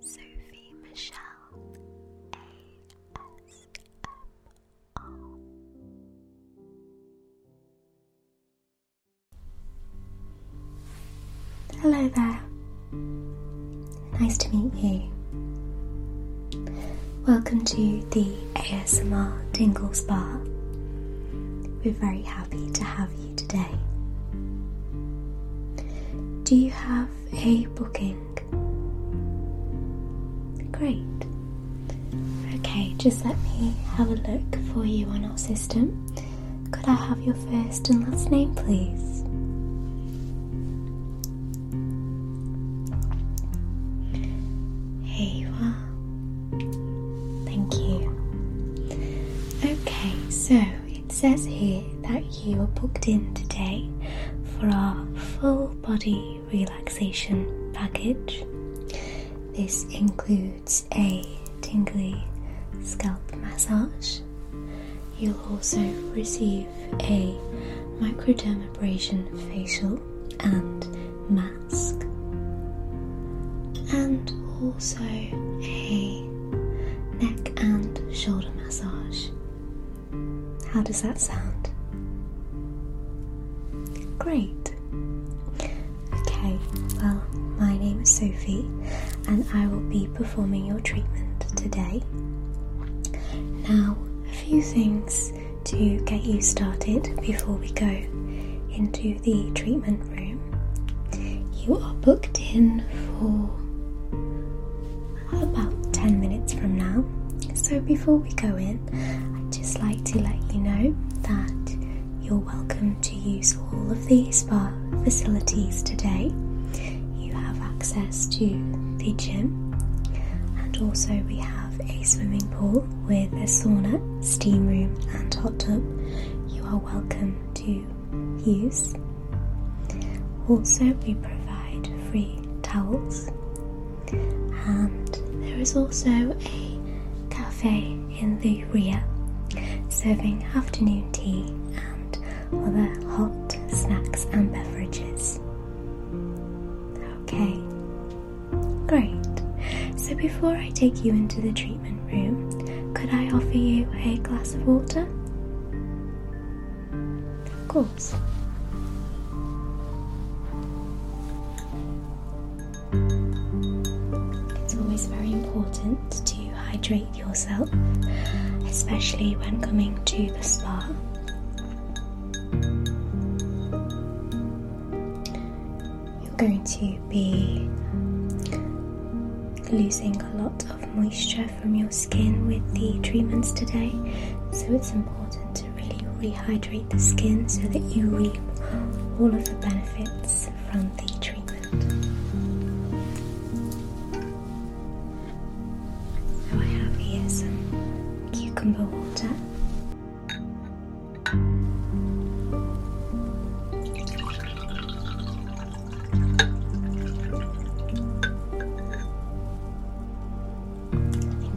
Sophie Michelle ASMR. Hello there. Nice to meet you. Welcome to the ASMR Tingle Spa. We're very happy to have you today. Do you have a booking? Great. Okay, just let me have a look for you on our system. Could I have your first and last name, please? Here you are. Thank you. Okay, so it says here that you are booked in today for our full body relaxation package. This includes a tingly scalp massage. You'll also receive a microdermabrasion facial and mask, and also a neck and shoulder massage. How does that sound? Great. Okay, well, my name is Sophie and I will be performing your treatment today. Now, a few things to get you started before we go into the treatment room. You are booked in for about 10 minutes from now. So before we go in, I'd just like to let you know that you're welcome to use all of the spa facilities today. You have access to the gym, and also we have a swimming pool with a sauna, steam room, and hot tub. You are welcome to use. Also, we provide free towels, and there is also a cafe in the rear serving afternoon tea and other hot snacks and beverages. Okay, great. So, before I take you into the treatment room, could I offer you a glass of water? Of course. It's always very important to hydrate yourself, especially when coming to the spa. You're going to be losing a lot moisture from your skin with the treatments today, so it's important to really rehydrate the skin so that you reap all of the benefits from the treatment. So, I have here some cucumber water.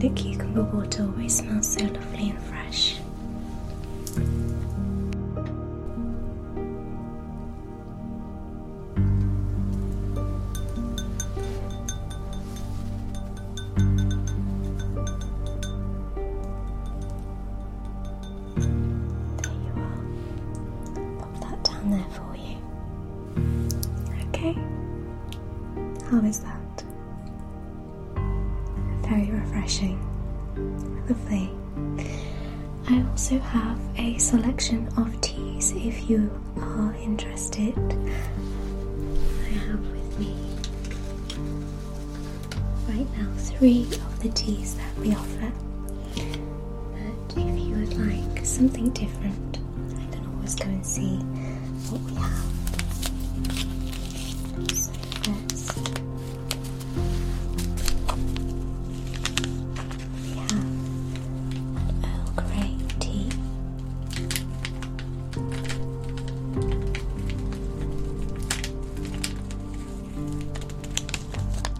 The cucumber water always smells so lovely and fresh. There you are pop that down there for you. Okay? How is that? Very refreshing. Lovely. I also have a selection of teas if you are interested. I have with me right now three of the teas that we offer. But if you would like something different, I can always go and see what we have. we have Earl Grey tea. Peppermint.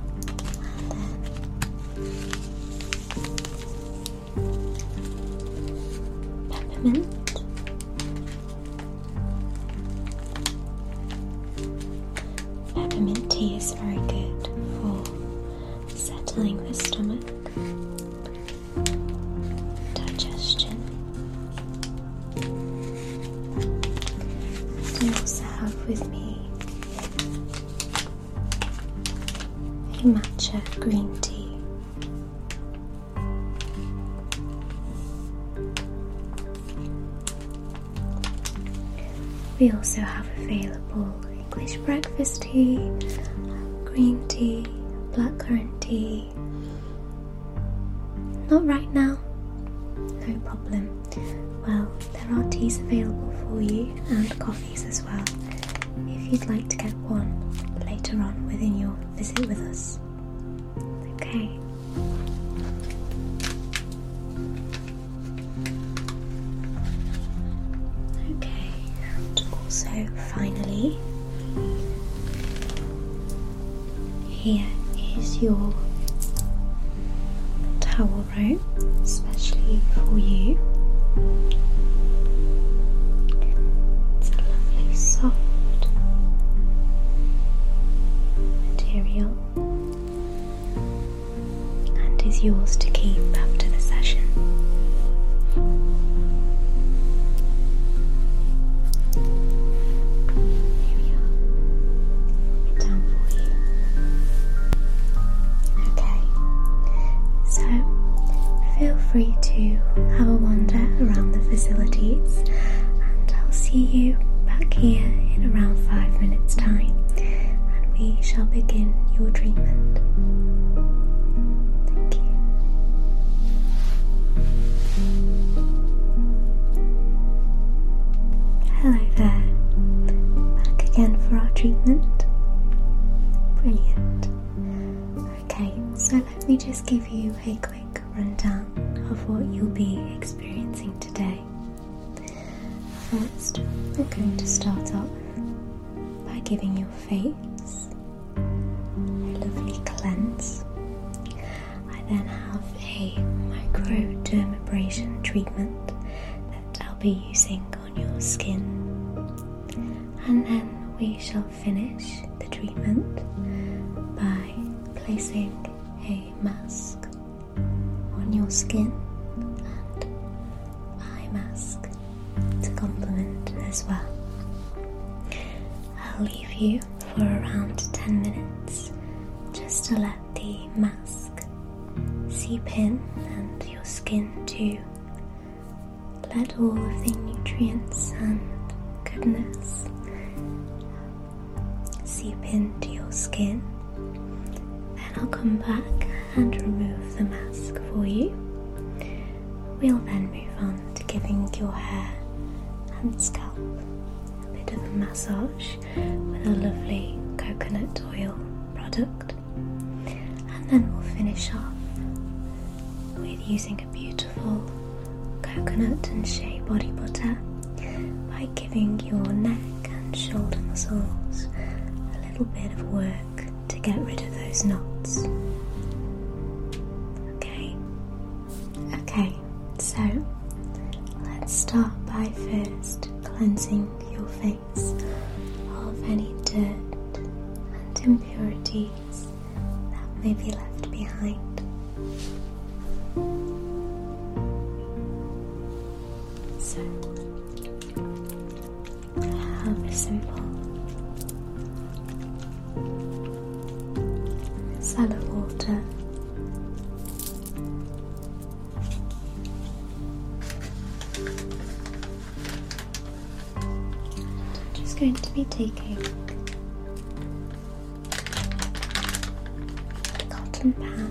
Peppermint tea is very good for settling the stomach, digestion, I also have with me a matcha green tea. We also have available English breakfast tea, green tea, blackcurrant tea. Not right now, no problem. Well, there are teas available for you and coffees as well if you'd like to get one later on within your visit with us. Okay. Okay, and also finally, here is your towel right? Especially for you. It's a lovely soft material and is yours to keep after the session. Here Down for you. Okay, so feel free to have a wander around the facilities, and I'll see you back here in around five minutes' time, and we shall begin your treatment. Thank you. Hello there, back again for treatment? Brilliant. Okay, so let me just give you a quick rundown of what you'll be experiencing today. First, we're going to start off by giving your face a lovely cleanse. I then have a microdermabrasion treatment that I'll be using on your skin, and then we shall finish the treatment by placing a mask on your skin and eye mask to complement as well. I'll leave you for around 10 minutes just to let the mask seep in and your skin to let all of the nutrients and goodness seep into your skin. Then I'll come back and remove the mask for you. We'll then move on to giving your hair and scalp a bit of a massage with a lovely coconut oil product. And then we'll finish off with using a beautiful coconut and shea body butter by giving your neck and shoulder muscles a little bit of work to get rid of those knots. Okay, okay, so let's start by first cleansing your face of any dirt and impurities that may be left behind. So, I have simple cell water just going to be taking a cotton pad.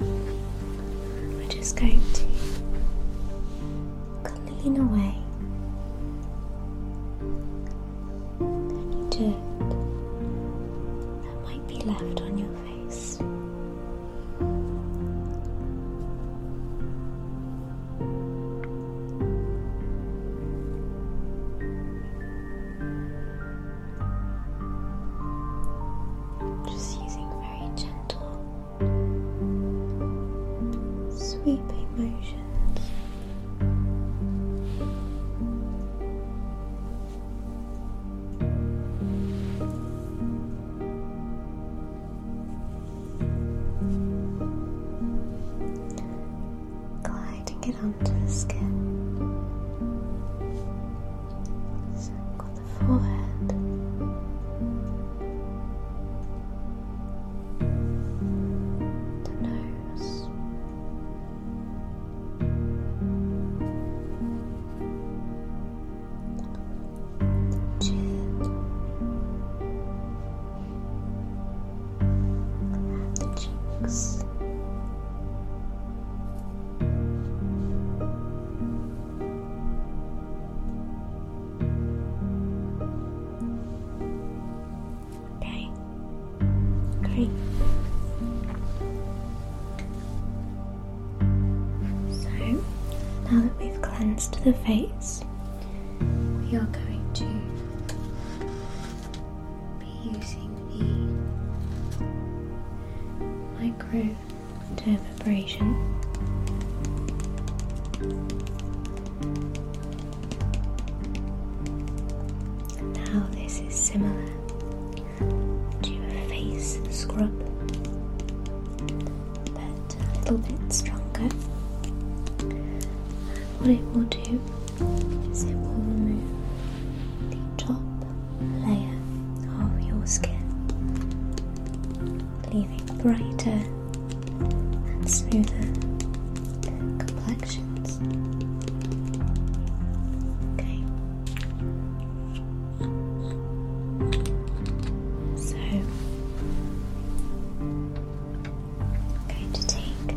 We're just going to clean away. Dirt that might be left on your face. Just using very gentle sweeping motions. Gliding it onto the skin forehead. The nose, the chin, and the cheeks. Okay. Great. So now that we've cleansed the face, we are going to be using the micro to the vibration. Now, this is similar to a face scrub, but a little bit stronger. what it will do is it will remove the top layer of your skin, leaving brighter and smoother complexions. Okay. So I'm going to take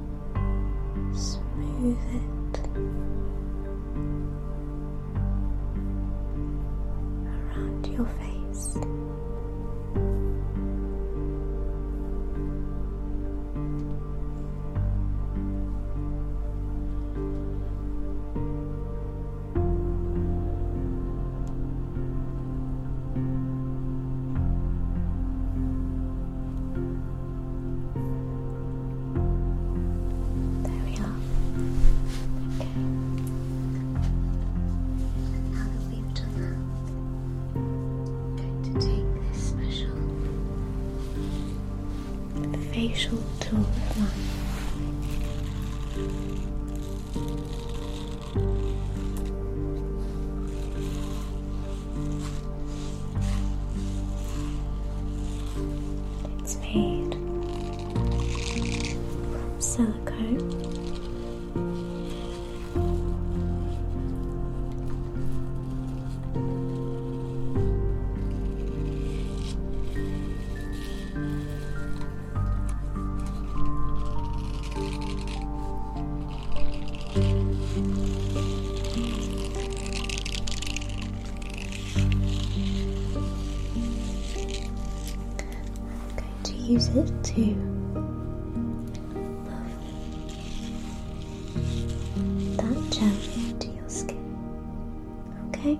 smooth it around your face. There we are. Okay. Now that we've done that, I'm going to take this special facial tool it's made from silicone. I'm going to use it to buff that gel into your skin. Okay. Okay.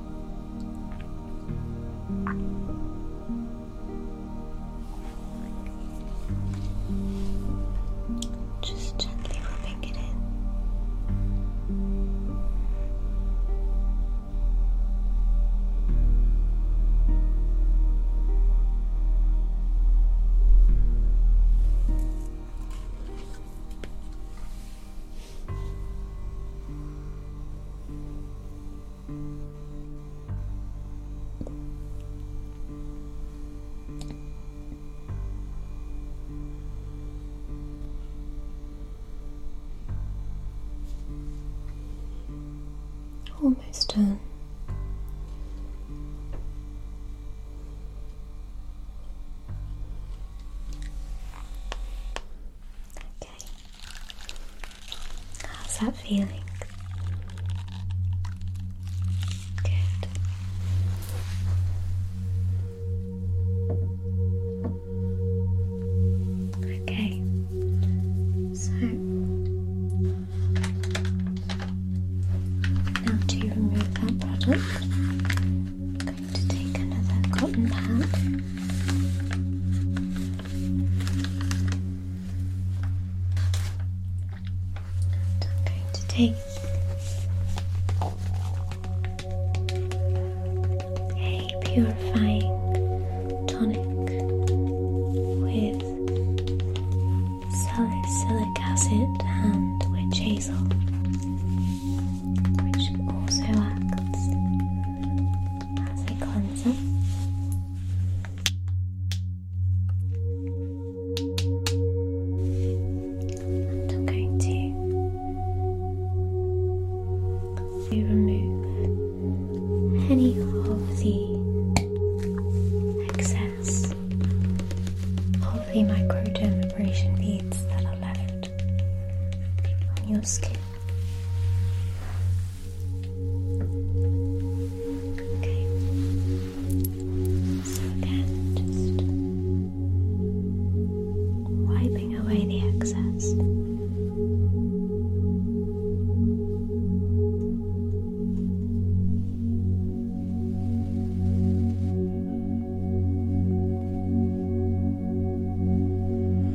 Just gently rubbing it in. Almost done. Okay, How's that feeling? Good. Okay, so now to remove that product, going to take another cotton pad. And I'm going to take a purifying tonic with salicylic acid and witch hazel which also acts as a cleanser. I'm going to remove any of the excess of the microdermabrasion beads that are left on your skin. Okay. So again, just wiping away the excess.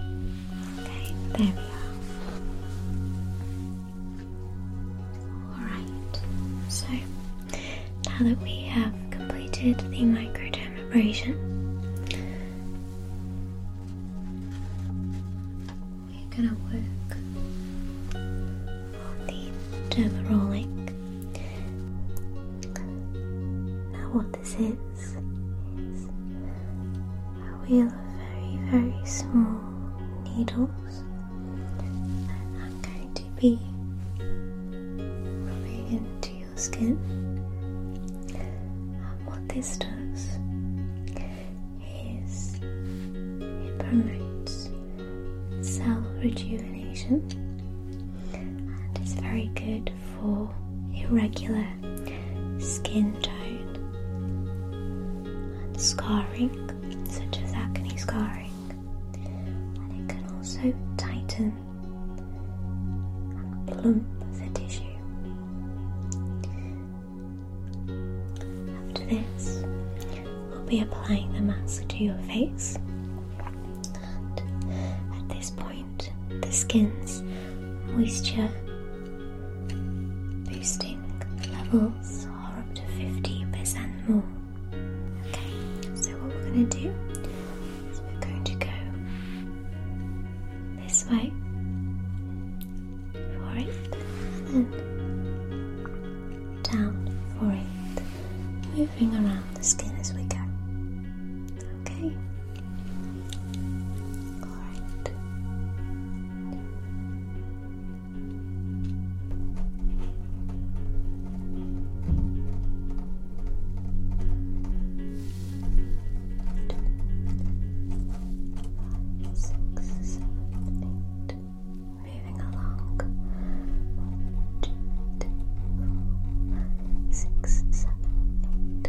Okay, there we are. Alright, so now that we have completed the microdermabrasion, we're going to work on the derma rolling. Now, what this is, a wheel of very, very small needles. And I'm going to be rubbing into your skin. And what this does is it promotes cell rejuvenation and it's very good for irregular skin tone and scarring, such as acne scarring, and it can also tighten and plump the tissue. After this, we'll be applying the mask to your face, and at this point, the skin's moisture Boosting levels are up to 50% more. Okay, so what we're going to do is we're going to go this way for it and then down for it, moving around the skin as we go. Okay. All right. Five, six, seven, eight. Moving along. One, two, three, four, five, six, seven, eight.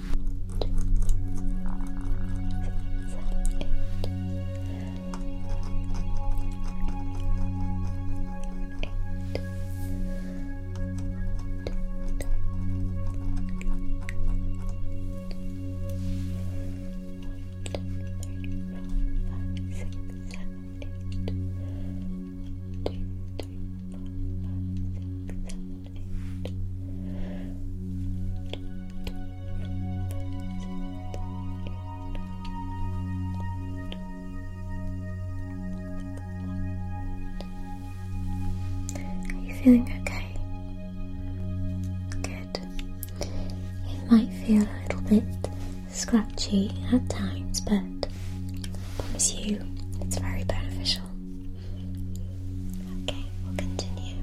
Eight, two, three, four, five, six, seven, are you feeling okay? Good. It might feel a little bit scratchy at times, but promise you it's very beneficial. Okay, we'll continue.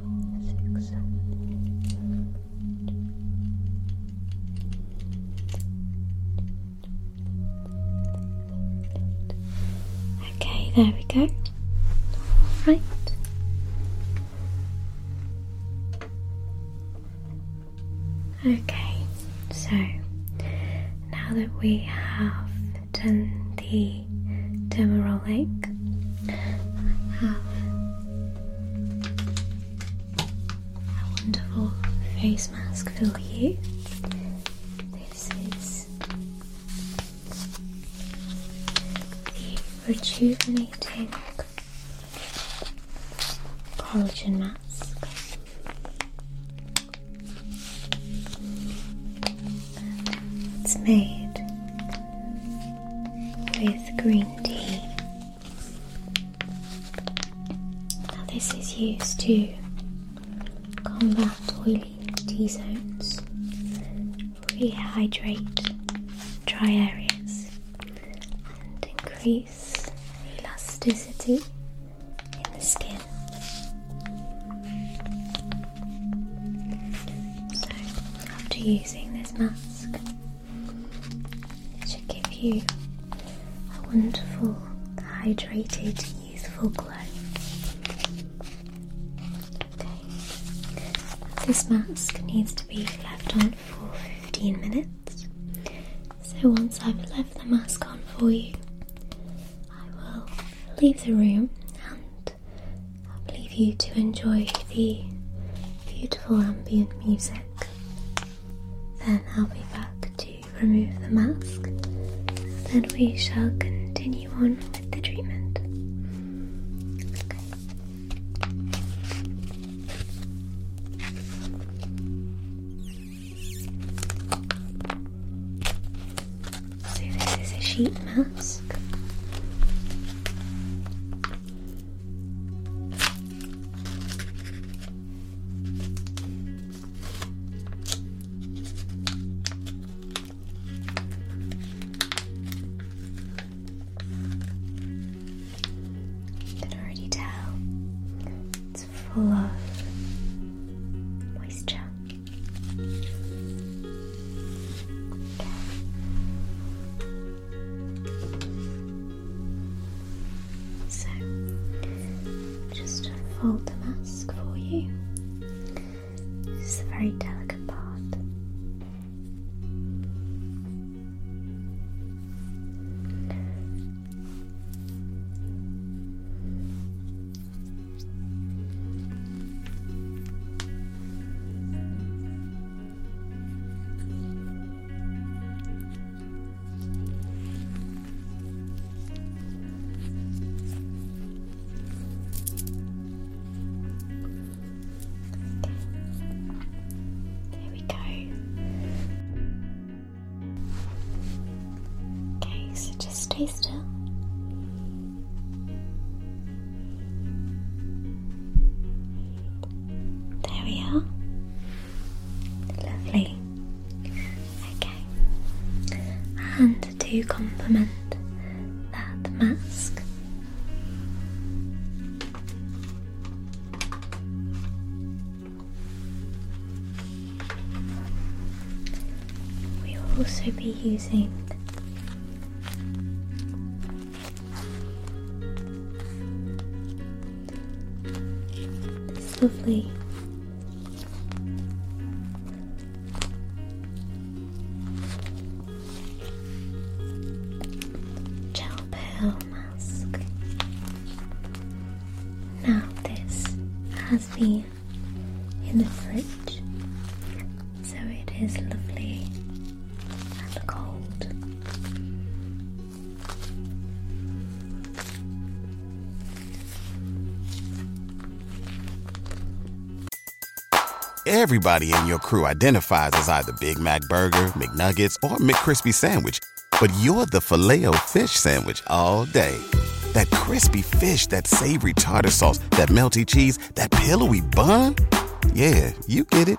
Okay, there we go. Right. Okay, so now that we have done the the Demerol Have a wonderful face mask for you. This is the rejuvenating collagen mask. It's made with green tea. Now, this is used to combat oily T zones, rehydrate dry areas, and increase elasticity in the skin. So, after using this mask, to give you a wonderful, hydrated, youthful glow. Okay. This mask needs to be left on for 15 minutes. So once I've left the mask on for you, I will leave the room and I'll leave you to enjoy the beautiful ambient music. Then I'll be back to remove the mask. Then we shall continue on with the treatment. So, this is a sheet mask. You can already tell it's full of moisture. So, just fold the mask for you. This is a very delicate part. There we go. Okay, so just stay still. There we are. Lovely. Okay. And to complement that mask, we will also be using this is lovely. Gel pearl mask. Now, this has been in the fridge, so it is lovely Everybody in your crew identifies as either Big Mac Burger, McNuggets, or McCrispy Sandwich, but you're the filet fish Sandwich all day. That crispy fish, that savory tartar sauce, that melty cheese, that pillowy bun. Yeah, you get it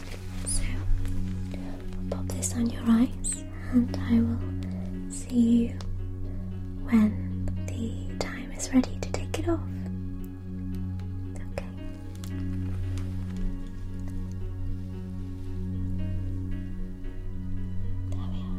So, pop this on your eyes, and I will see you when the time is ready to take it off. Okay. There we are.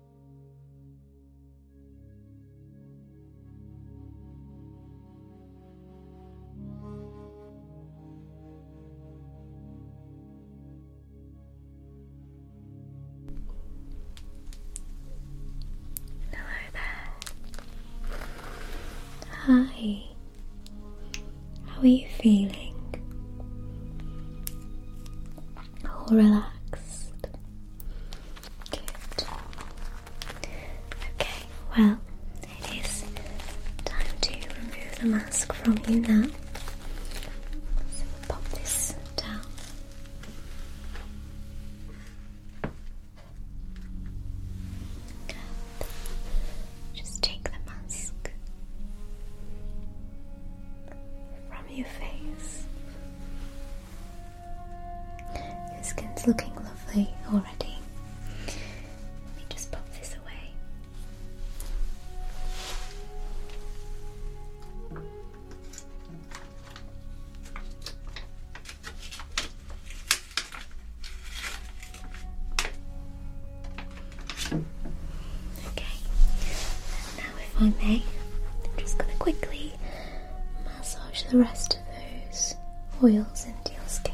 Hello there. Hi. How are you feeling? All relaxed. Okay, well, it is time to remove the mask from you now. So pop this down. Just take the mask from your face. Your skin's looking lovely already. Let me just pop this away. Okay, now if I may, just going to quickly massage the rest of those oils into your skin.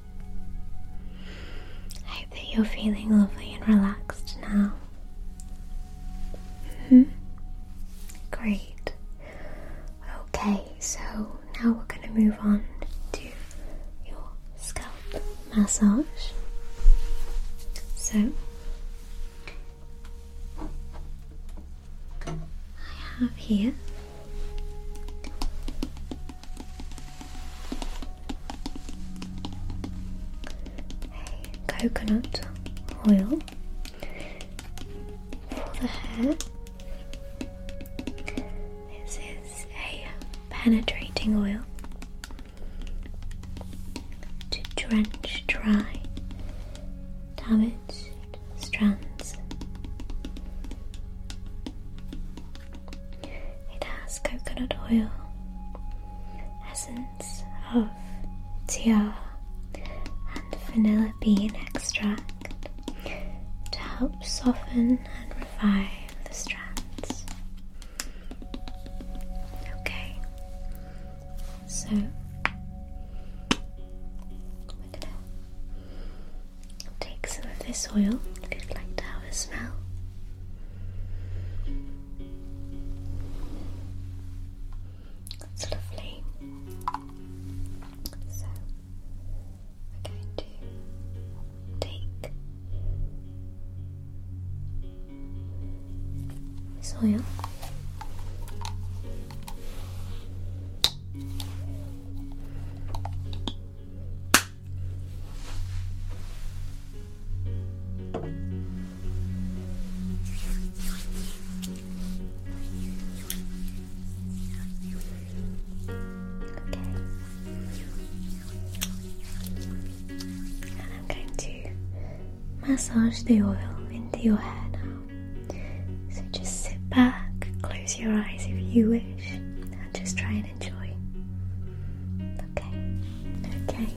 I hope that you're feeling lovely and relaxed now. hmm Great. Okay, so now we're going to move on to your scalp massage. So, I have here coconut oil for the hair. This is a penetrating oil to drench dry damage strands. It has coconut oil, essence of tiara, and vanilla bean extract to help soften and revive the strands. Okay, so take some of this oil if you'd like to have a smell. That's lovely. So we're going to take this oil. And I'm going to massage the oil into your hair now. So just sit back, close your eyes if you wish just try and enjoy. Okay. Okay.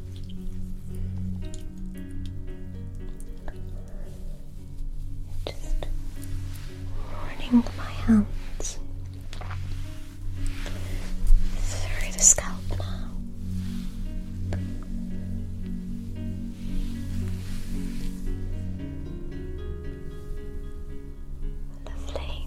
Just warning my hands through the scalp now. Lovely.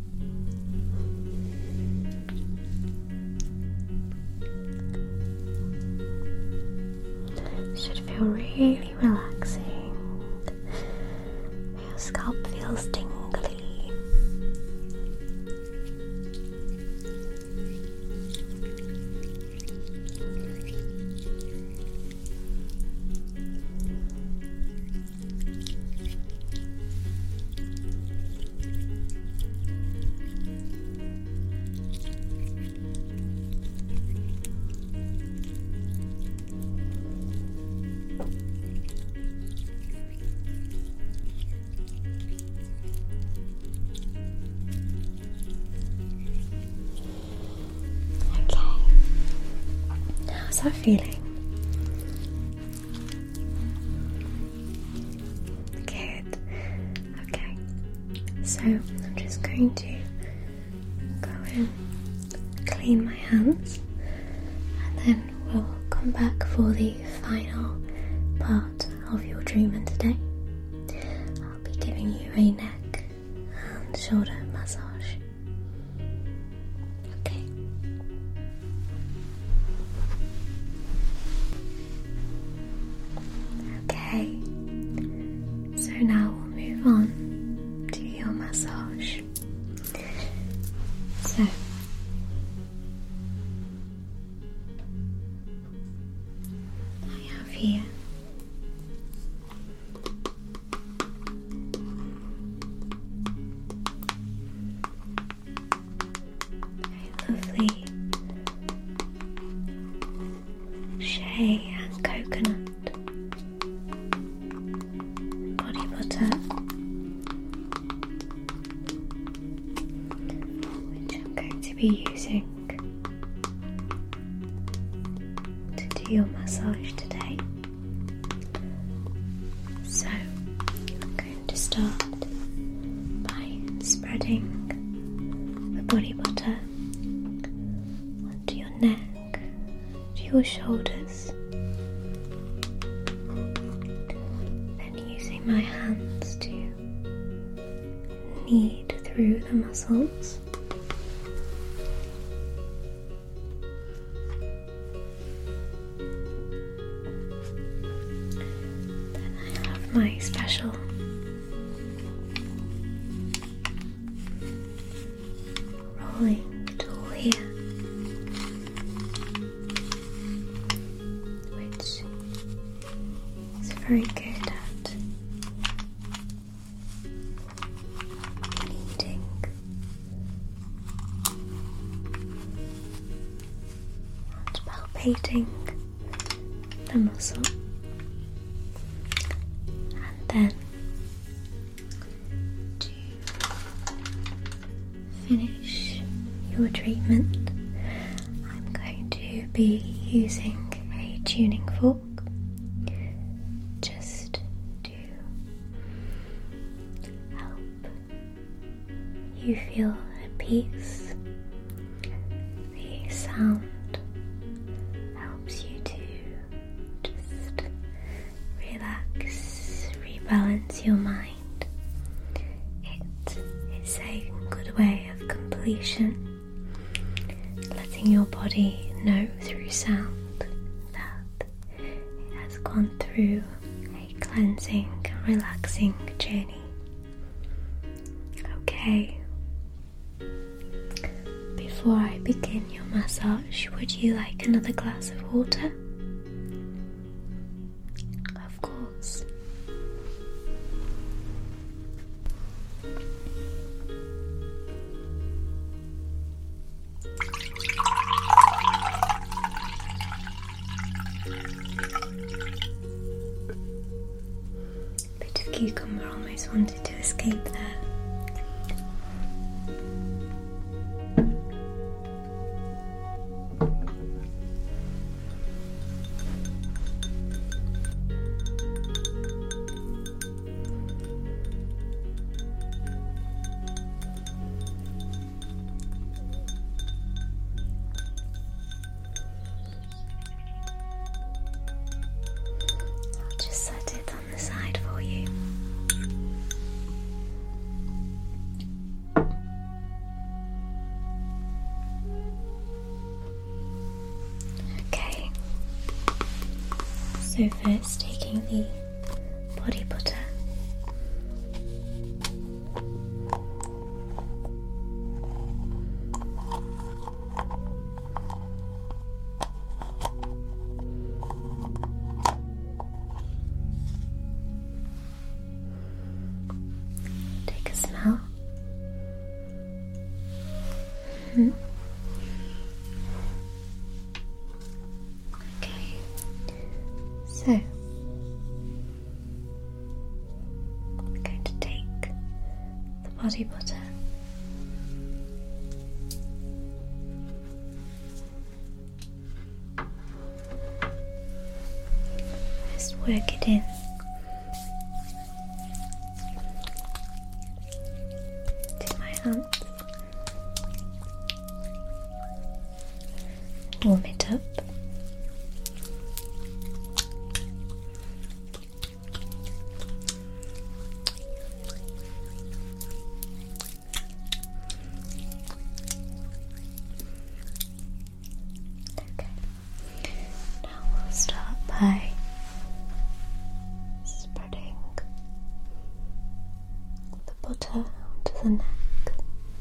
Should feel really relaxing. Your scalp feels tingly. Okay. How's that feeling? Good. Okay. So I'm just going to go and clean my hands and then we'll come back for the final part of your treatment today. I'll be giving you a neck and shoulder massage. Okay. Okay. So now we'll move on to your massage. So I have here lovely shea and coconut body butter, which I'm going to be using to do your massage today. So I'm going to start by spreading the body butter onto your neck, to your shoulders, then using my hands to knead through the muscles. I have my special rolling tool here, which is very good at kneading palpating the muscle, and then to finish your treatment, I'm going to be using a tuning fork just to help you feel at peace. The sound helps you to just relax, rebalance your mind. It is a good way of completion, letting your body know through sound that has gone through a cleansing relaxing journey. Okay. Before I begin your massage, would you like another glass of water? Of course. Bit of cucumber almost wanted to escape there. I'll just set it on the side for you. Okay, so first taking the body butter. Take a smell. -hmm. Okay, so I'm going to take the body butter. Just work it in. To my hands warm it up. Okay. Now we'll start by spreading the butter onto the neck.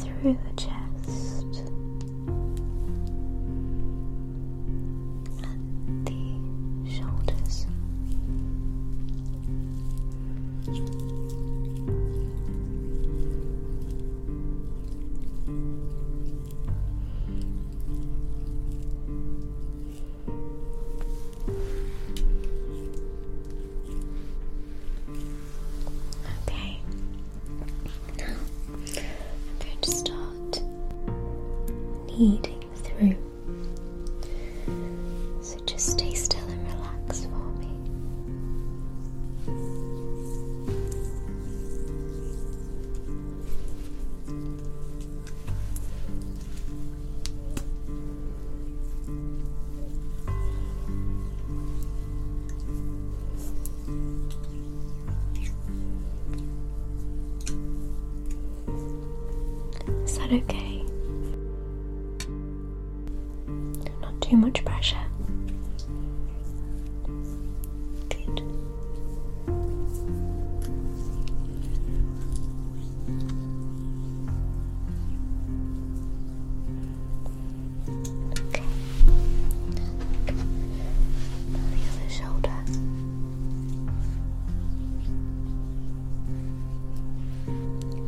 through the chest and the shoulders. Okay. Now I'm going to start kneading through. So just stay still and relax for me. Is that okay? Not too much pressure. Good. Okay. the shoulder.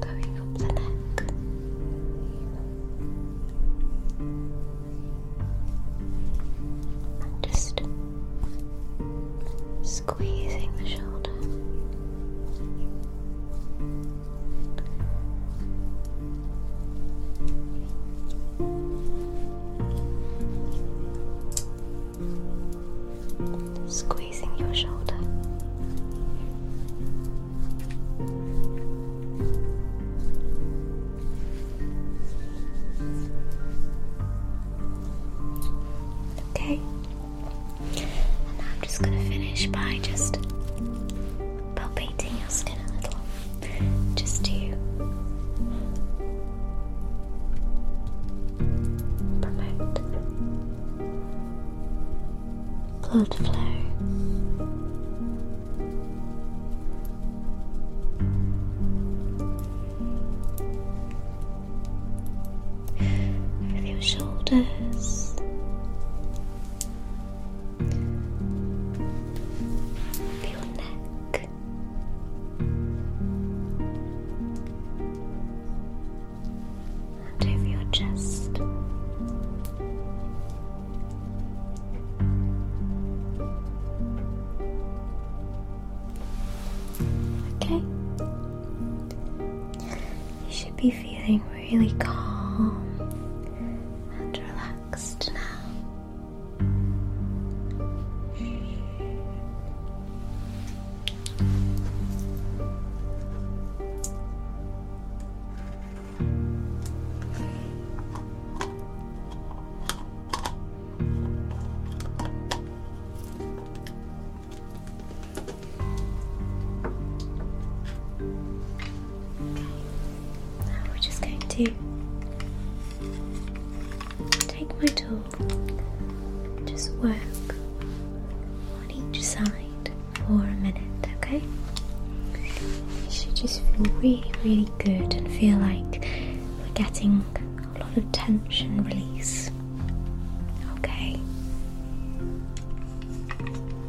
Going up the neck. And just squeezing the shoulder. Squeezing your shoulder. Okay, and I'm just going to finish by just about painting your skin a little. Just to promote blood flow. With your shoulders, of your neck. And over your okay. You should be feeling really calm and relaxed. Next now. Now we're just going to take my tool just work on each side for a minute, okay? You should just feel really, really good and feel like we're getting a lot of tension release. Okay.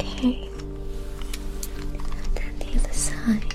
Okay. Then the other side.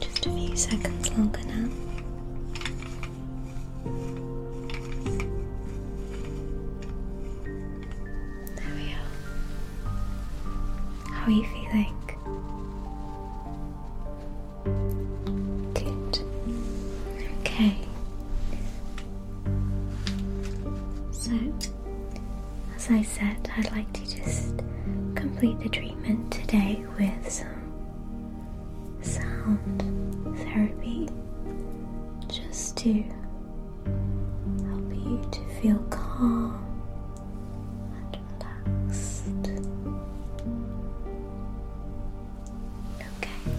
Just a few seconds longer now. There we are. How are you feeling? Good. Okay. So, as I said, I'd like to just complete the treatment today with some sound therapy just to help you to feel calm and relaxed. Okay.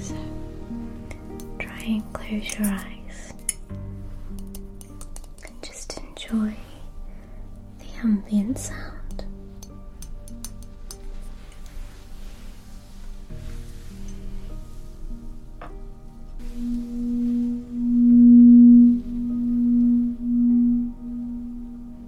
So try and close your eyes and just enjoy the ambient sound.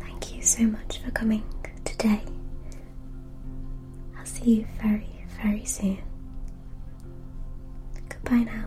Thank you so much for coming today I'll see you very, very soon. Goodbye now.